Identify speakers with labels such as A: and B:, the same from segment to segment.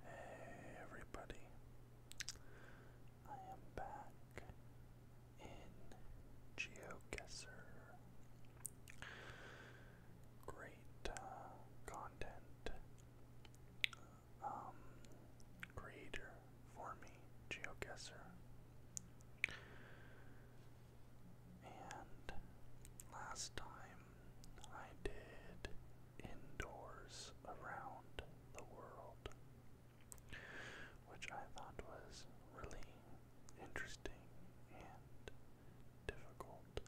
A: Hey everybody, I am back in GeoGuessr. Great uh, content um, creator for me, GeoGuessr. And last time I did Indoors Around the World, which I thought was really interesting and difficult.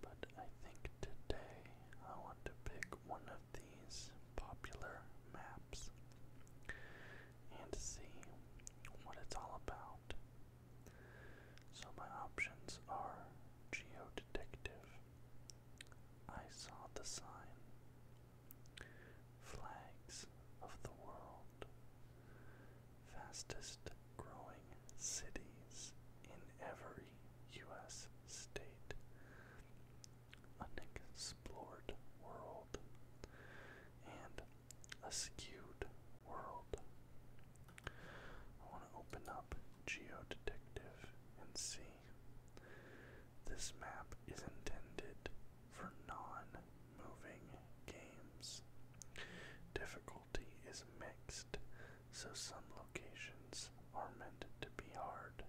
A: But I think today I want to pick one of these popular maps and see what it's all about so my options are geodetective. I saw the sign. Flags of the world. Fastest growing cities in every U.S. state. Unexplored world. And a skewed world. I want to open up Geodetective and see. This map is intended for non moving games. Difficulty is mixed, so some locations are meant to be hard.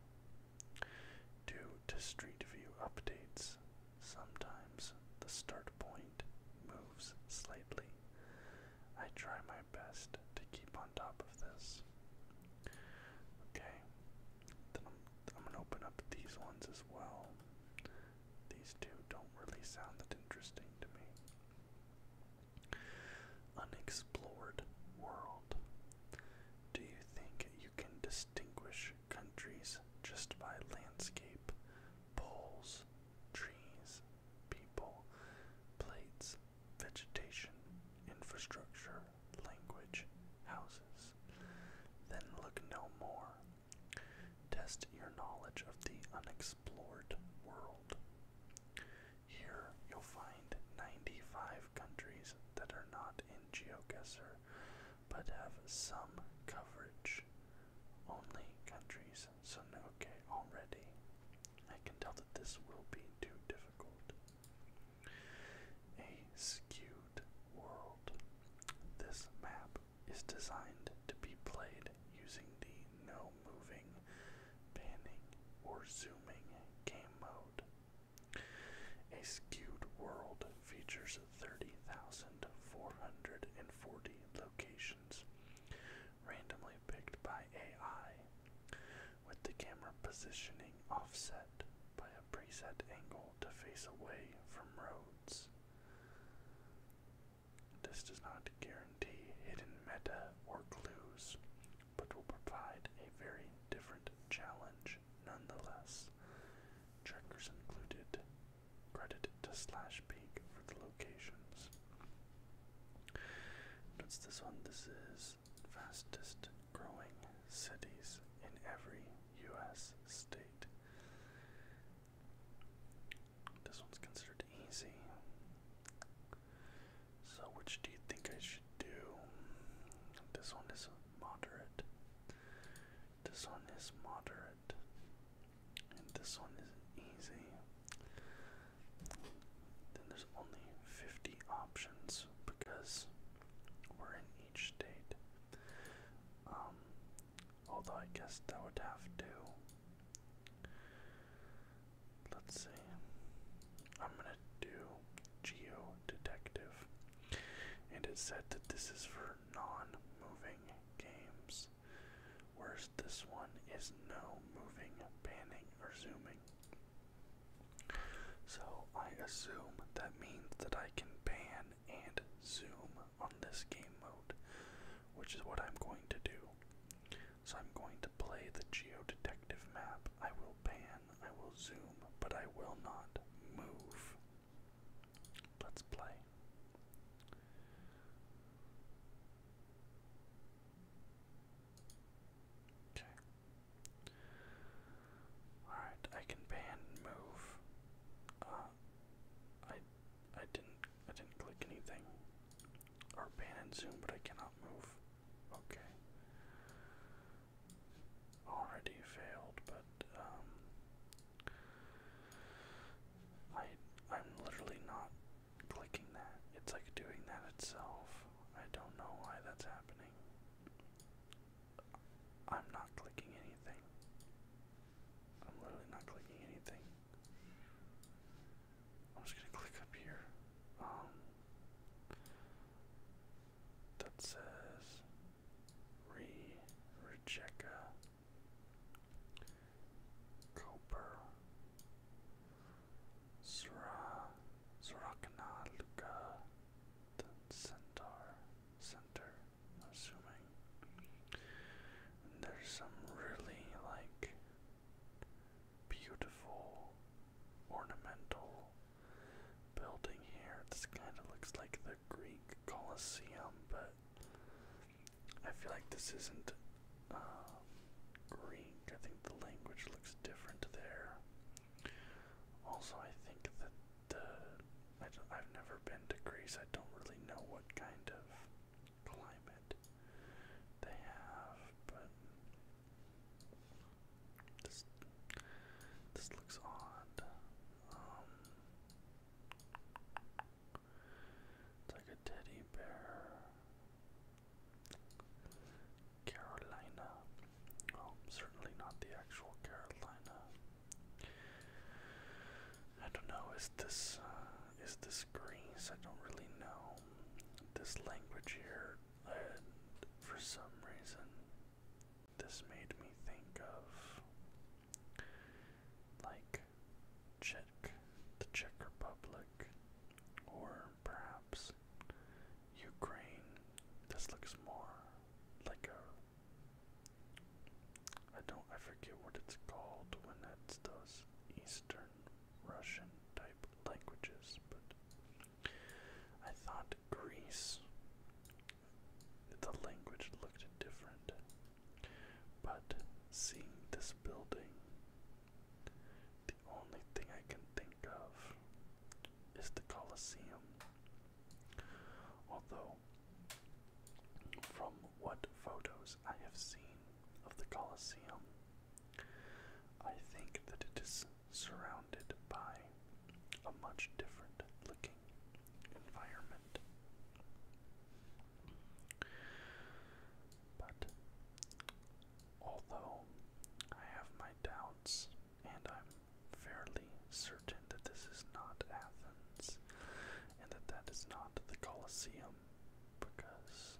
A: Due to Street View updates, sometimes the start point moves slightly. I try my best to keep on top of this. Okay, then I'm, gonna open up these ones as well. These two don't really sound that interesting to me. Unexplored world. Do you think you can distinguish countries just by landscape, poles, trees, people, plates, vegetation, infrastructure, language, houses. Then look no more. Test your knowledge of the unexplored world. Here you'll find 95 countries that are not in GeoGuessr but have some coverage. Only countries so no, okay, already I can tell that this will be too difficult. A skewed world. This map is designed to be played using the no moving, panning, or zooming game mode. A skewed world features 30,440 locations randomly picked by AI, with the camera positioning offset by a preset angle to face away from roads. This does not guarantee hidden meta or clues, but will provide a very different challenge nonetheless. Trackers included Credited to Slash Peak for the locations. What's this one? This is fastest growing cities in every U.S. state. This one's considered easy. So, which do you think I should do? This one is moderate. This one is moderate and this one is easy. Then there's only 50 options because we're in each state. Um, although I guess that would have to. Let's see. I'm gonna do Geo Detective, and it said that this is for non moving games. Whereas this one is no moving, panning, or zooming. So I assume that means that I can pan and zoom on this game mode, which is what I'm going to do. So I'm going to play the geodetective map. I will pan, I will zoom, but I will not move. Let's play. Okay. Alright, I can ban move. Uh I I didn't I didn't click anything. Or ban and zoom, but I cannot move. Okay. Already failed, but um I I'm literally not clicking that. It's like doing that itself. I don't know why that's happening. I'm not clicking anything. I'm literally not clicking anything. I'm just gonna click up here. Um that says Re Rejeca Copper, Sura, Surakana, Luca, the Centaur, Center, assuming. there's some really like beautiful ornamental building here. This kind of looks like the Greek Colosseum, but I feel like this isn't um, I think the language looks different there. Also, I think that the I have never been to Greece. I don't really know what kind of climate they have, but this this looks odd. Um, it's like a teddy bear. Carolina. Well, oh, certainly not the actual Carolina. I don't know. Is this uh, is this Greece? I don't really know. This language here, for some reason, this made me think of like Czech, the Czech Republic, or perhaps Ukraine. This looks more like a. I don't. I forget what it's called when it's those Eastern Russian type languages, but I thought Greece. The language looked different, but seeing this building, the only thing I can think of is the Colosseum. Although, from what photos I have seen of the Colosseum, I think that it is surrounded by a much different looking environment but although I have my doubts, and I'm fairly certain that this is not Athens, and that that is not the Colosseum, because,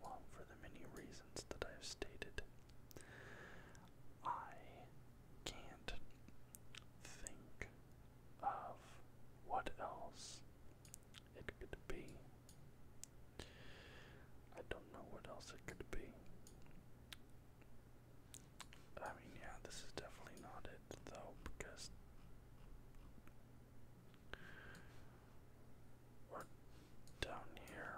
A: well, for the many reasons that I've stated, I can't think of what else it could be. I don't know what else it could be. I mean, yeah, this is definitely not it, though, because. We're down here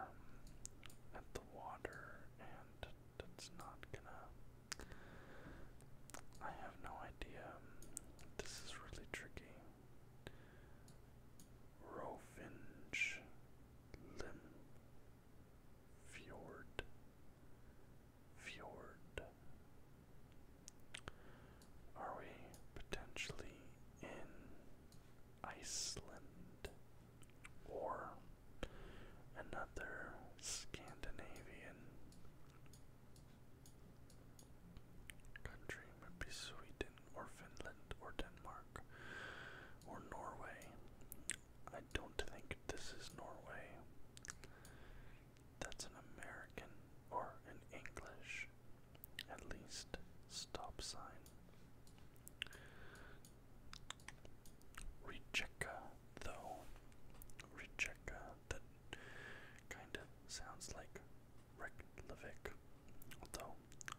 A: at the water, and that's not gonna I have no idea. This is really tricky. Rovinj Lim Fjord Fjord. Are we potentially in Iceland or another Scandinavian Country would be Sweden or Finland or Denmark or Norway. I don't think this is Norway. That's an American or an English, at least, stop sign. Rejecka, though. Rejecka, that Kinda sounds like Reykjavik, although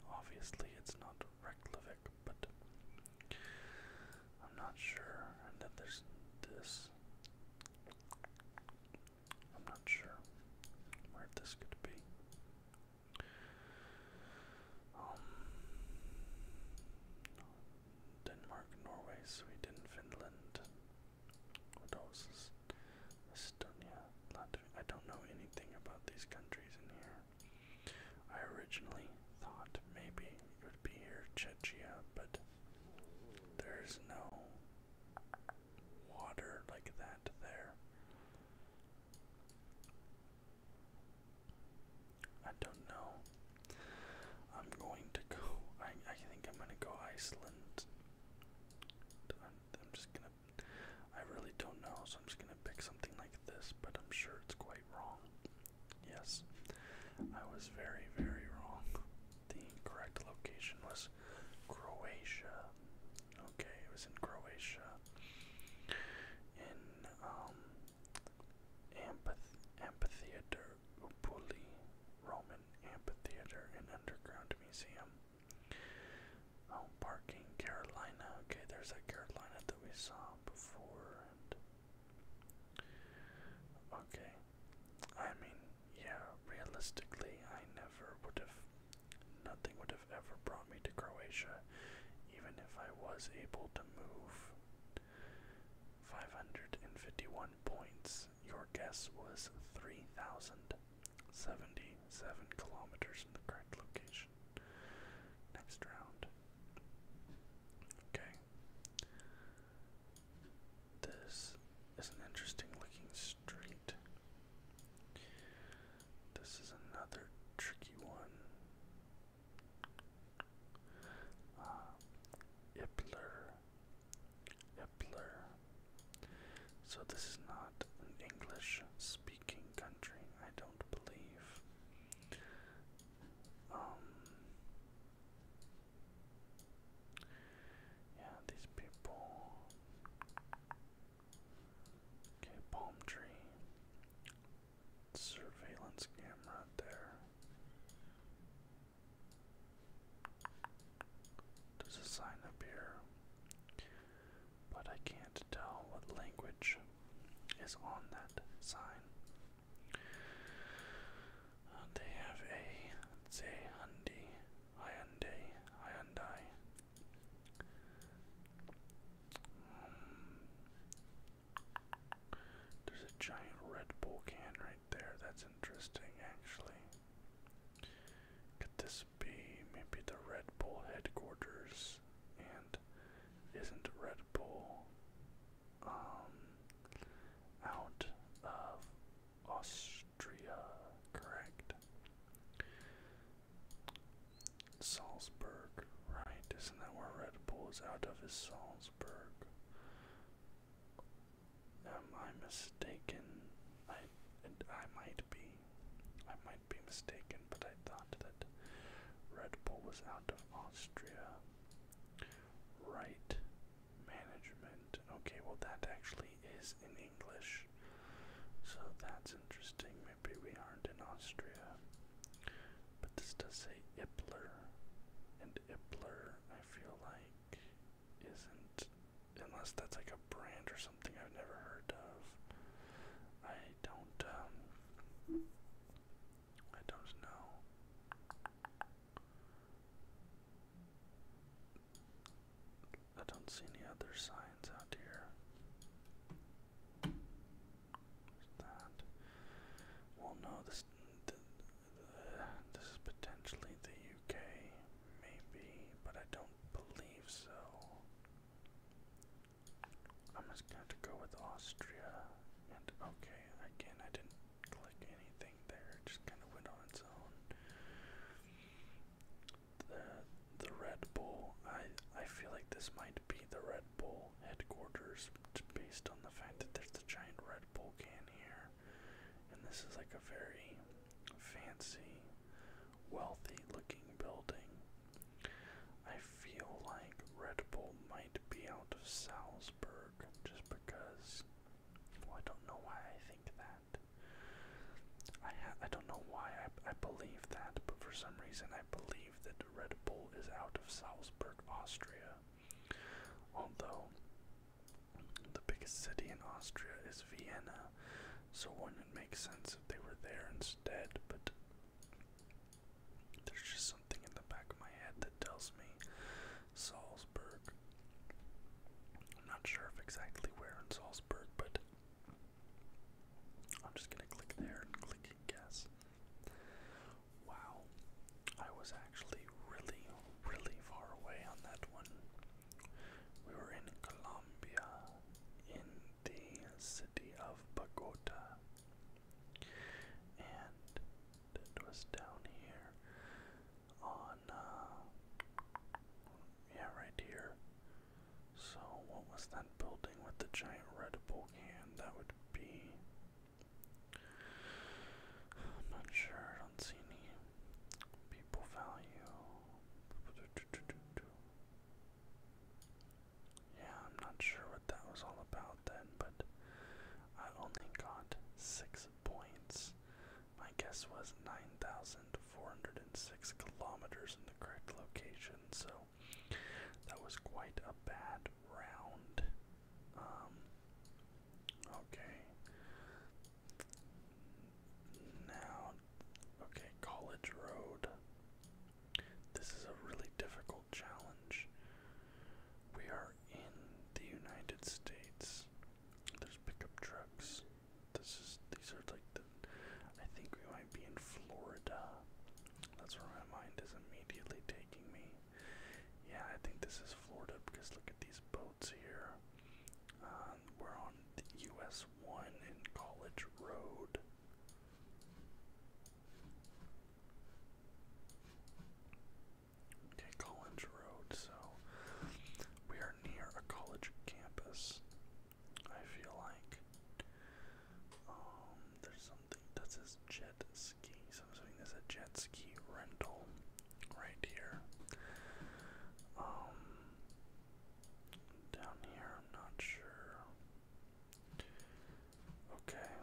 A: obviously it's not Reykjavik, but I'm not sure. And then there's this. I'm not sure where this could be. Um, Denmark, Norway, Sweden, Finland, Estonia? Latvia? I don't know anything about these countries in here. I originally thought maybe it would be here, Chechia, but there's no water like that there. I don't know. I'm going to go. I I think I'm gonna go Iceland. I'm, just gonna. I really don't know, so I'm just gonna pick something like this. But I'm sure it's quite wrong. Yes, I was very very wrong. The correct location was Croatia. Okay, it was in Croatia. In um. Amphith amphitheater Upuli Roman Amphitheater and Underground Museum. Oh, parking Carolina. Okay, there's that Carolina that we saw before. okay, I mean, yeah, realistically, I never would have, nothing would have ever brought me to Croatia, even if I was able to move 551 points your guess was 3,077 kilometers in the correct location. Next round. Okay. This is an interesting looking street. This is another tricky one. Uh, Ippler Hitler. So this is not an English-speaking country, I don't believe. Um, yeah, these people. Okay, palm tree. Surveillance camera there. There's a sign up here, but I can't tell what language is on that sign. Uh, they have a Zehandi, Hyundai, Hyundai. Um, there's a giant Red Bull can right there. That's interesting, actually. Could this be maybe the Red Bull headquarters? And isn't Red Bull um, out of Austria, correct? Salzburg, right? Isn't that where Red Bull is out of? Is Salzburg? Am I mistaken? I I might be, I might be mistaken, but I thought that Red Bull was out of Austria. Right management. Okay, well that actually is in English, so that's interesting. Maybe we aren't in Austria, but this does say Ippler, and Ippler I feel like isn't, unless that's like a brand or something I've never heard of. I don't, um, I don't know. I don't see any other signs out here. that? Well, no, this this is potentially the UK, maybe, but I don't believe so. I'm just going to go with Austria. And okay, again, I didn't click anything there; it just kind of went on its own. The the Red Bull. I I feel like this might be the Red Bull headquarters, based on the fact that there's the giant Red Bull can here. And this is like a very fancy, wealthy looking building. I feel like Red Bull might be out of Salzburg just because. I don't know why I think that. I ha I don't know why I I believe that, but for some reason I believe that Red Bull is out of Salzburg, Austria. Although the biggest city in Austria is Vienna, so wouldn't make sense if they were there instead? But there's just something in the back of my head that tells me Salzburg. I'm not sure if exactly where in Salzburg, but I'm just gonna click there and click and guess. Wow, I was actually really, really far away on that one. We were in Colombia, in the city of Bogota, and it was down here on, uh, yeah, right here. So, what was that building with the giant Red Bull can? That would be. I'm not sure, I don't see any people value. Yeah, I'm not sure what that was all about then, but I only got six points. My guess was 9,406 kilometers in the correct location, so that was quite a bad round. Um, Okay. Now, okay, College Road. This is a really difficult challenge. We are in the United States. There's pickup trucks. This is these are like the I think we might be in Florida. That's where my mind is immediately taking me. Yeah, I think this is Florida because look at these boats here. Um, we're on US 1 in College Road. Okay, College Road, so we are near a college campus, I feel like. Um, there's something that says Jet ski. So I'm assuming there's a jet ski rental right here. Um, down here, I'm not sure. Okay.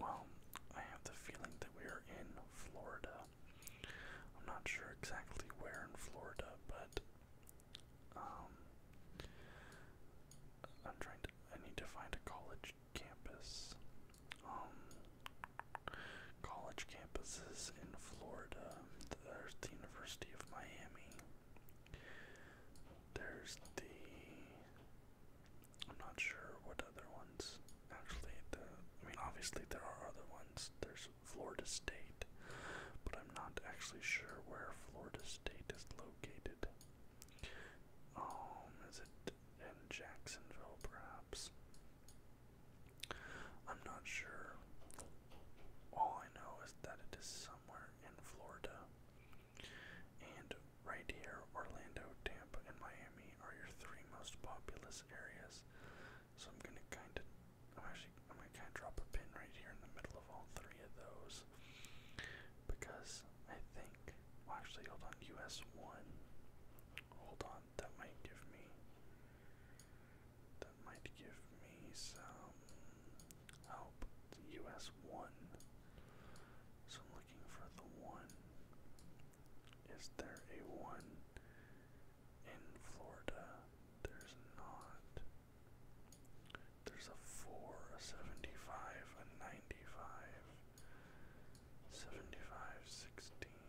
A: Well, I have the feeling that we are in Florida. I'm not sure exactly where in Florida, but um, I'm trying to. I need to find a college campus. Um, college campuses in Florida. There's the University of Miami. There's the. I'm not sure what other ones. Actually, the. I mean, obviously there are other ones. There's Florida State, but I'm not actually sure where Florida State is located. Um, is it and Jacksonville, perhaps. I'm not sure. All I know is that it is somewhere in Florida. And right here, Orlando, Tampa, and Miami are your three most populous areas. So I'm gonna kinda I'm actually I'm gonna kinda drop a pin right here in the middle of all three of those. Because I think well actually hold on, US one Hold on, that might give me. That might give me some help. US 1. So I'm looking for the 1. Is there a 1 in Florida? There's not. There's a 4, a 75, a 95 seventy-five, sixteen,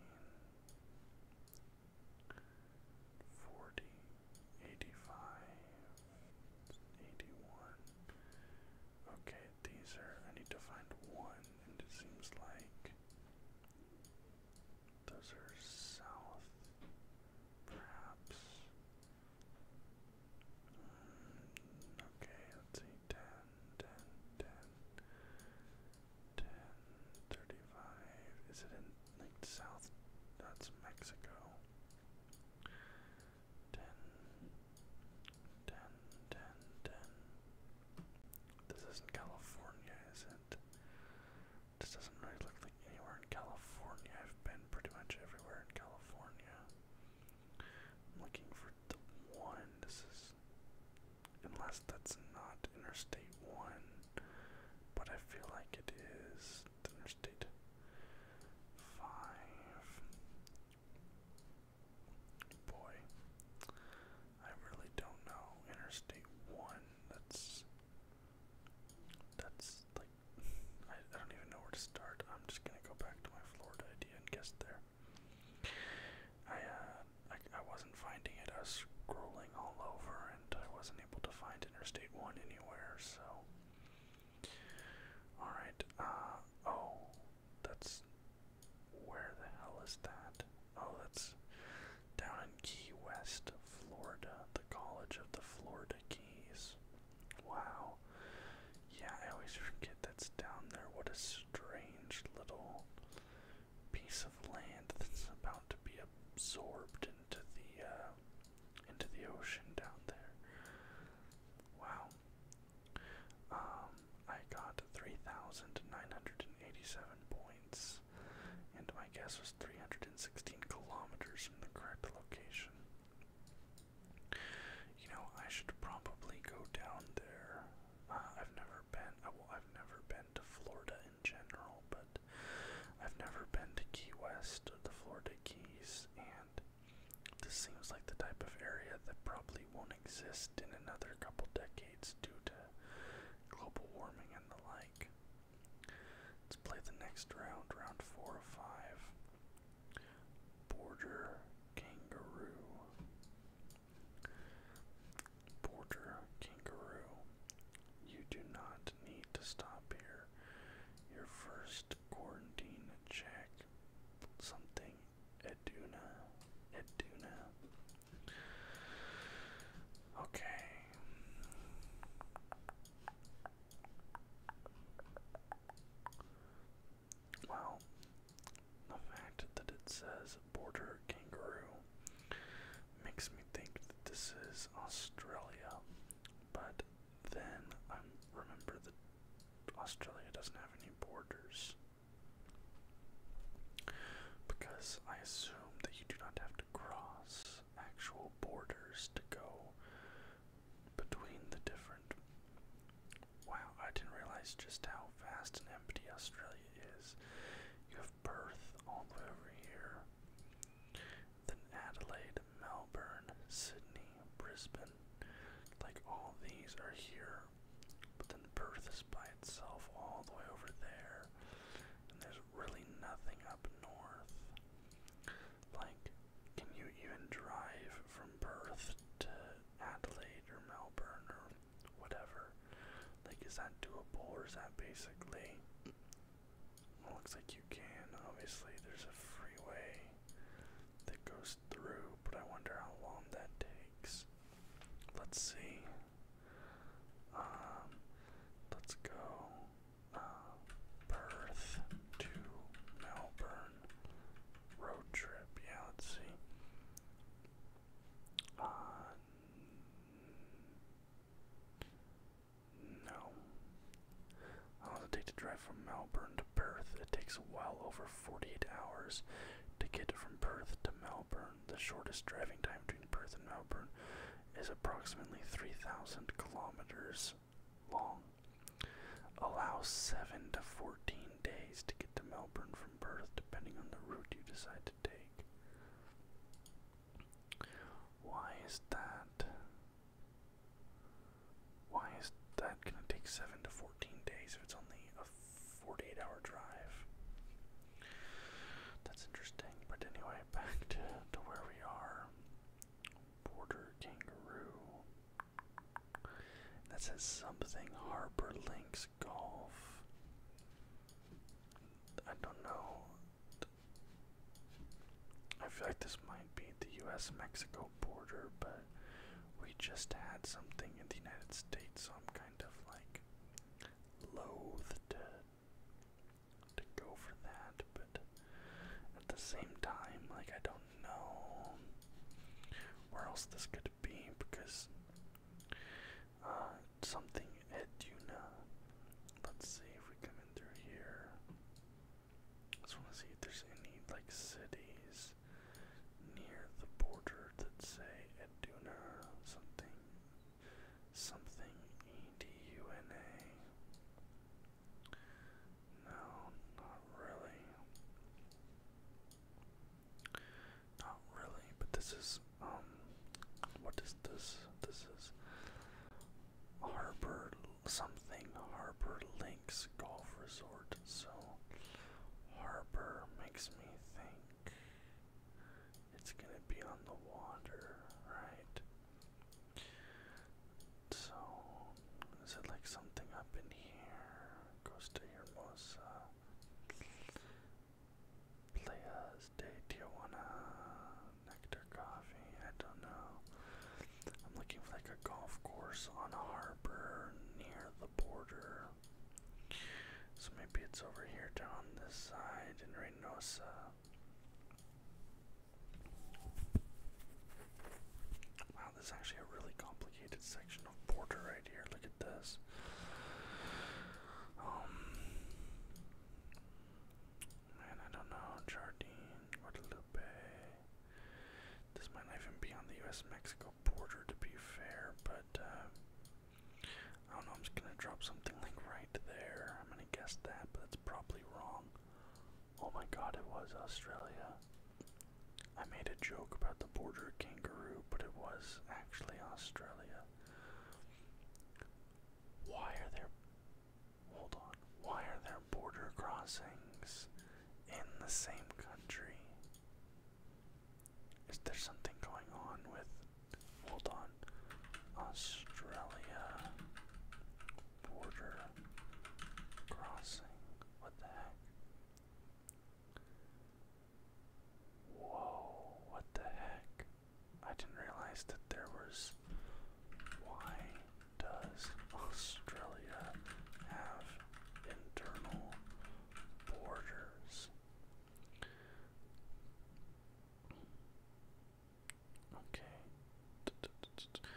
A: forty, eighty-five, eighty-one. Okay, these are. I need to find one, and it seems like those are south, perhaps. Mm, okay, let's see. 10, ten, ten, ten, thirty-five. Is it in like South? That's Mexico. Ten, ten, ten, ten. This isn't California, is it? This doesn't really look like anywhere in California. I've been pretty much everywhere in California. I'm looking for the one. This is unless that's not Interstate One, but I feel like it's Interstate Five. Boy, I really don't know Interstate One. That's that's like I, I don't even know where to start. I'm just gonna go back to my Florida idea and guess there. Uh, I, I, wasn't finding it. I was scrolling all over and I wasn't able to find Interstate 1 anywhere, so. Alright, uh, oh, that's. Where the hell is that? Oh, that's down in Key West, Florida, the College of the Florida Keys. Wow. Yeah, I always forget that's down there. What is strange little piece of land that's about to be absorbed into the uh, into the ocean down there. Wow. Um, I got 3,987 points, and my guess was 316 kilometers from the correct location. You know, I should probably go down there I've never been. I've never been to Florida in general, but I've never been to Key West, the Florida Keys, and this seems like the type of area that probably won't exist in another couple decades due to global warming and the like. Let's play the next round, round four or five. Border kangaroo. Porter Kangaroo, you do not need to stop here. Your first quarantine check something Eduna. Eduna. Okay. Well, The fact that it says border kangaroo makes me think that this is Australia, but then I remember that Australia doesn't have any borders. Because I assume that you do not have to cross actual borders to go between the different Wow, I didn't realize just how vast and empty Australia is. You have Perth all the way over here, then Adelaide, Melbourne, Sydney, Brisbane. Like all these are here, but then Perth is by itself all the way over there, and there's really nothing up north. Like, can you even drive from Perth to Adelaide or Melbourne or whatever. Like, is that doable or is that basically? looks like you can. Obviously, there's a freeway that goes through, but I wonder how long that takes. Let's see. Um, let's go uh, Perth to Melbourne road trip. Yeah, let's see. Uh, no. How does it take to drive from Melbourne to Perth? It takes well over 48 hours to get from Perth to Melbourne. The shortest driving time between Perth and Melbourne is approximately 3,000 kilometers long. Allow 7 to 14 days to get to Melbourne from Perth, depending on the route you decide to take. Why is that? Why is that going to take 7 to 14 days if it's only a 48 hour drive? That's interesting. But anyway, back to, to where we are. Border kangaroo. That says something Harbor Links Golf. I don't know. I feel like this might be the US Mexico border, but we just had something in the United States, so I'm kind of like loath to to go for that, but at the same time, like I don't know where else this could be because uh, something Eduna. Let's see if we come in through here. just want to see if there's any like cities near the border that say Eduna something. Something E-D-U-N-A. No, not really. Not really, but this is um what is this? This is Harbor something Harbor Links Golf Resort. So Harbor makes me think it's gonna be on the water, right? So, is it like something up in here? goes Hermosa. Playas de Tijuana, uh, Nectar Coffee, I don't know. I'm looking for like a golf course on a harbor near the border. So maybe it's over here down this side in Reynosa this is actually a really complicated section of border right here. Look at this. Um, man, I don't know. Jardine, Guadalupe. This might even be on the U.S.-Mexico border, to be fair, but uh, I don't know. I'm just gonna drop something like right there. I'm gonna guess that, but that's probably wrong. Oh my God, it was Australia. I made a joke about the border kangaroo, but it was actually Australia. Why are there. Hold on. Why are there border crossings in the same country? Is there something going on with. Hold on. Australia border crossing. What the heck? Whoa, what the heck? I didn't realize that there was. Why does Australia have internal borders? Okay.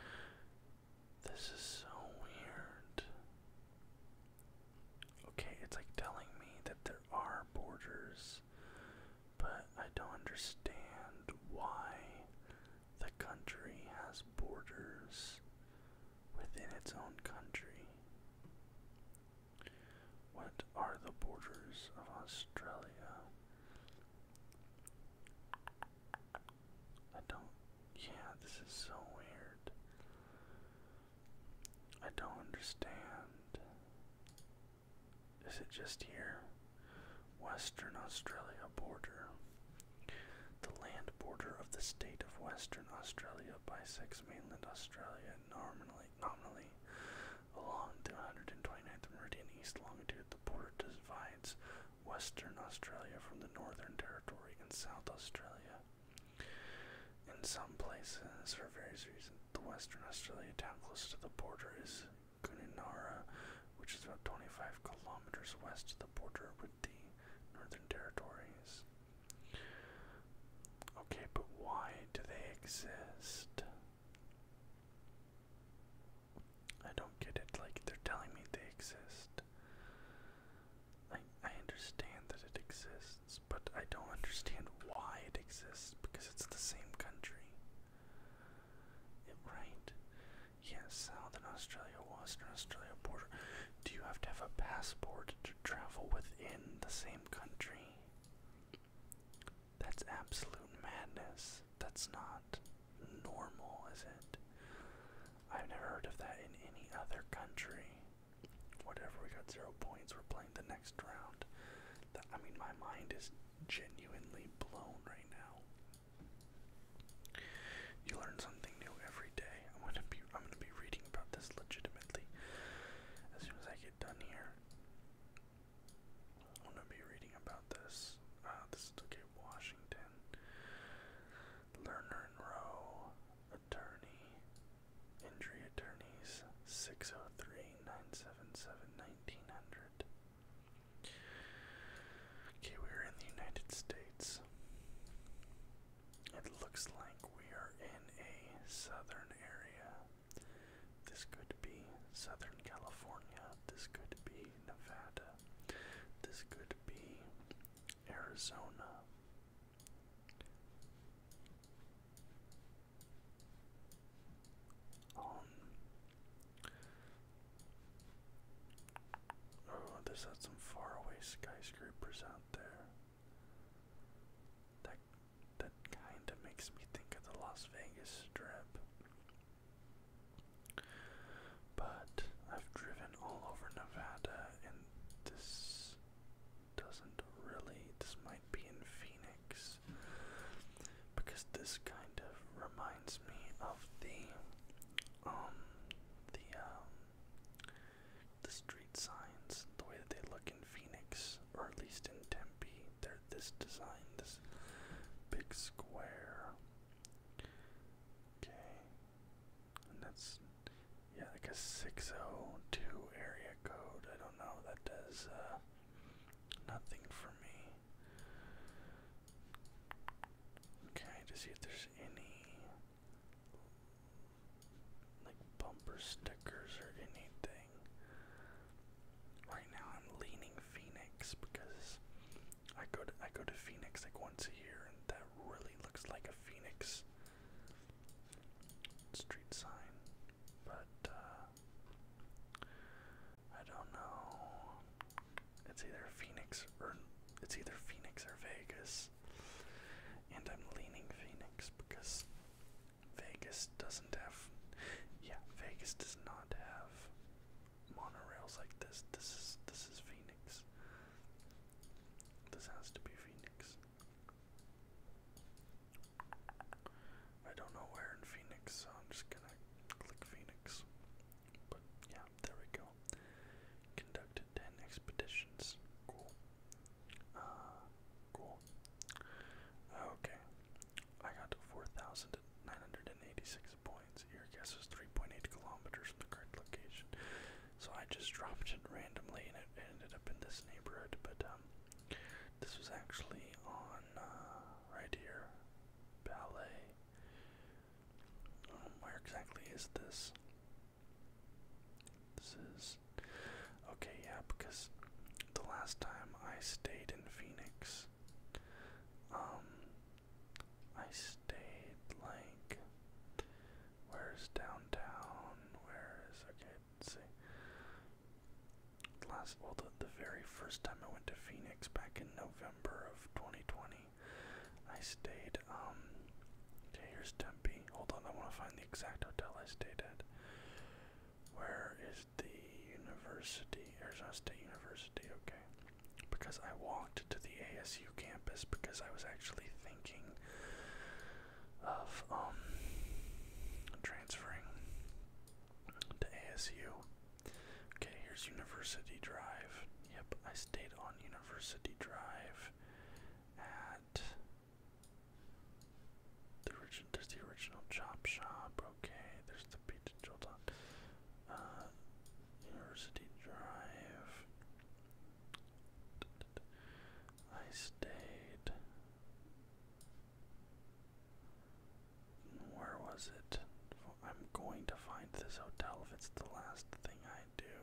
A: This is so weird. Okay, it's like telling me that there are borders, but I don't understand why the country has borders within its own country. What are the borders of Australia? I don't. Yeah, this is so weird. I don't understand. Is it just here? Western Australia border. The land border of the state of Western Australia bisects mainland Australia normally, nominally along the 129th meridian east longitude. The border divides Western Australia from the Northern Territory and South Australia. In some places, for various reasons, the Western Australia town closest to the border is Kuninara, which is about 25 kilometers west of the border with the Northern Territories. Okay, but why do they exist? I don't get it. Like, they're telling me they exist. I I understand that it exists, but I don't understand why it exists because it's the same country. It, right? Yes, South Southern Australia, Western Australia border. Do you have to have a passport to travel within the same country? That's absolute madness. That's not normal, is it? I've never heard of that in any other country. Whatever, we got zero points. We're playing the next round. I mean, my mind is genuinely blown right now. You learn something new every day. I'm gonna be, I'm gonna be reading about this legitimately as soon as I get done here. I'm gonna be reading about this. Uh, this is okay, Washington. Learner and Row attorney, injury attorneys, 603-977-1900. Okay, we are in the United States. It looks like we are in a southern area. This could be Southern California. This could be Nevada. This could be Arizona. Um, oh, this some faraway skyscrapers out there. That that kind of makes me think of the Las Vegas Strip but I've driven all over Nevada and this doesn't really, this might be in Phoenix because this kind of reminds me of the, um, the, um, the street signs, the way that they look in Phoenix, or at least in Tempe, they're this design, this big square. Okay, and that's yeah, like a six oh two area code. I don't know, that does uh nothing for me. Okay, to see if there's any like bumper stickers or anything. Right now I'm leaning Phoenix because I go to I go to Phoenix like once a year and that really looks like a phoenix street sign, but uh, I don't know. It's either Phoenix or it's either Phoenix or Vegas, and I'm leaning Phoenix because Vegas doesn't have. Yeah, Vegas does not have monorails like this. This is this is Phoenix. This has to be Phoenix. I don't know where in Phoenix, so I'm just gonna click Phoenix. But yeah, there we go. Conducted 10 expeditions. Cool. Uh, cool. Okay. I got to 4,986 points. Your guess was 3.8 kilometers from the current location. So I just dropped it randomly and it ended up in this neighborhood. But um, this was actually on uh, right here, Ballet. Um, where exactly is this? This is okay, yeah, because the last time I stayed in Phoenix, um, I stayed like. Where's downtown? Where is okay? Let's see. Last well, the, the very first time I went to Phoenix back in November of 2020, I stayed. Um, okay, here's Tempe. Hold on, I want to find the exact hotel I stayed at. Where is the university? Arizona State University. Okay, because I walked to the ASU campus because I was actually thinking thinking of um, transferring to ASU. Okay, here's University Drive. Yep, I stayed on University Drive at the origin does the original chop shop, okay, there's the pizza Jolt on. Uh, University Drive. I stayed. Where was it? I'm going to find this hotel if it's the last thing I do.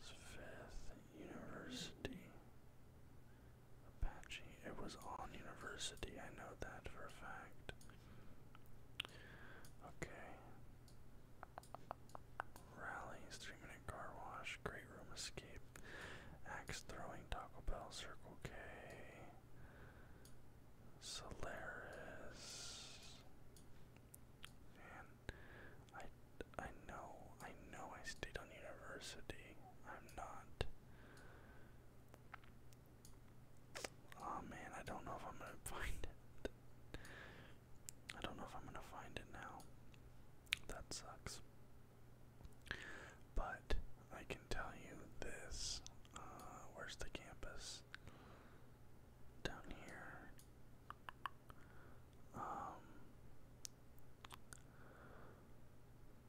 A: It's Fifth University. Apache. It was on University, I know that for a fact. Okay. Rallies, three minute car wash, great room escape, axe throwing, Taco Bell, Circle K, Solaris. And I, I know, I know I stayed on university. I'm not. Oh man, I don't know if I'm gonna find it. I don't know if I'm gonna find it now. That sucks. But I can tell you this. Uh, where's the campus? Down here. Um.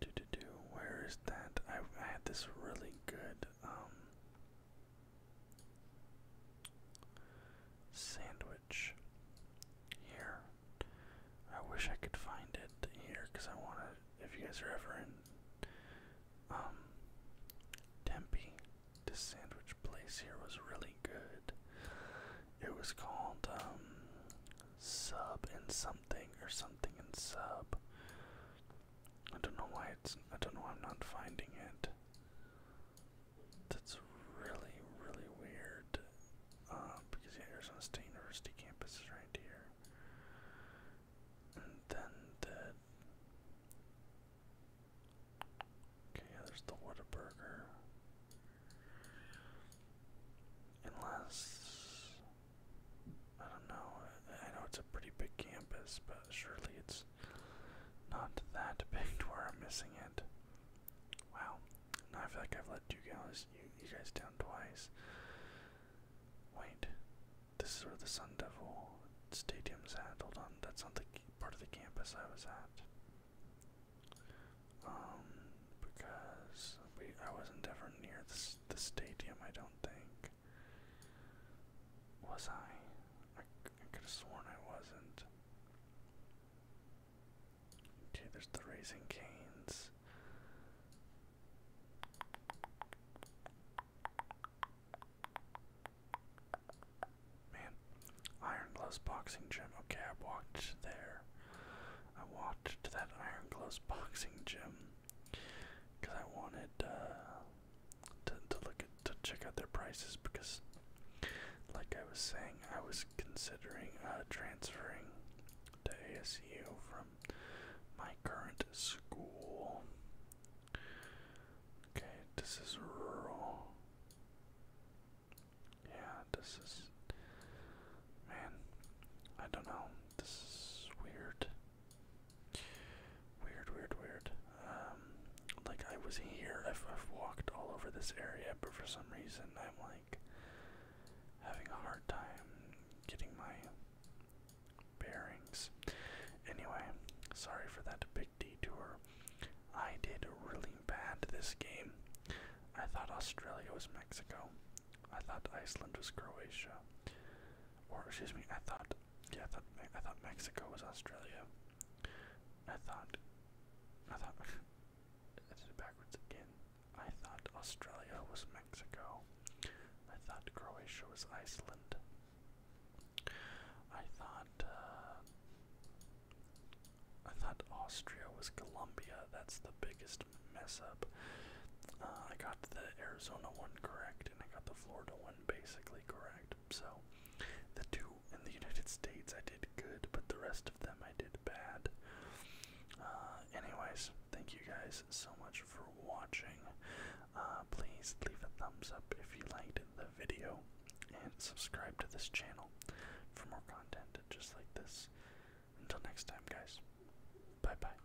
A: Do do do. Where is that? I, I had this really good um sandwich here. I wish I could find it here because I want to. If you guys are ever in um, Tempe, this sandwich place here was really good. It was called um, Sub and Something or Something and Sub. I don't know why it's I don't know why I'm not finding it. That's really, really weird. Uh, because yeah, Arizona State University campus is right here. And then the Okay, yeah, there's the Whataburger. Unless I don't know. I know it's a pretty big campus, but surely it's not that big where I'm missing it. Wow. Now I feel like I've let you guys, you, guys down twice. Wait. This is where the Sun Devil Stadium's at. Hold on. That's not the part of the campus I was at. Um, because we, I wasn't ever near the, the stadium, I don't think. Was I? I, could have sworn I wasn't. Okay, there's the Raising Canes. Man, Iron Gloves Boxing Gym. Okay, I walked there. I walked to that Iron Gloves Boxing Gym because I wanted uh, to to look at to check out their prices because, like I was saying, I was considering uh, transferring to ASU from my current school. Okay, this is rural. Yeah, this is. Man, I don't know. This is weird. Weird, weird, weird. Um, like I was here, I've walked all over this area, but for some reason I'm like having a hard time getting my bearings. Anyway, sorry for that big detour. I did really bad this game. I thought Australia was Mexico. I thought Iceland was Croatia. Or, excuse me, I thought yeah, I thought I thought Mexico was Australia. I thought I thought I did it backwards again. I thought Australia was Mexico. I thought Croatia was Iceland. I thought uh, I thought Austria was Colombia. That's the biggest mess up. Uh, I got the Arizona one correct, and I got the Florida one basically correct. So the two in the United States I did good, but the rest of them I did bad. Uh, anyways, thank you guys so much for watching. Uh, please leave a thumbs up if you liked the video and subscribe to this channel for more content just like this. Until next time, guys. Bye bye.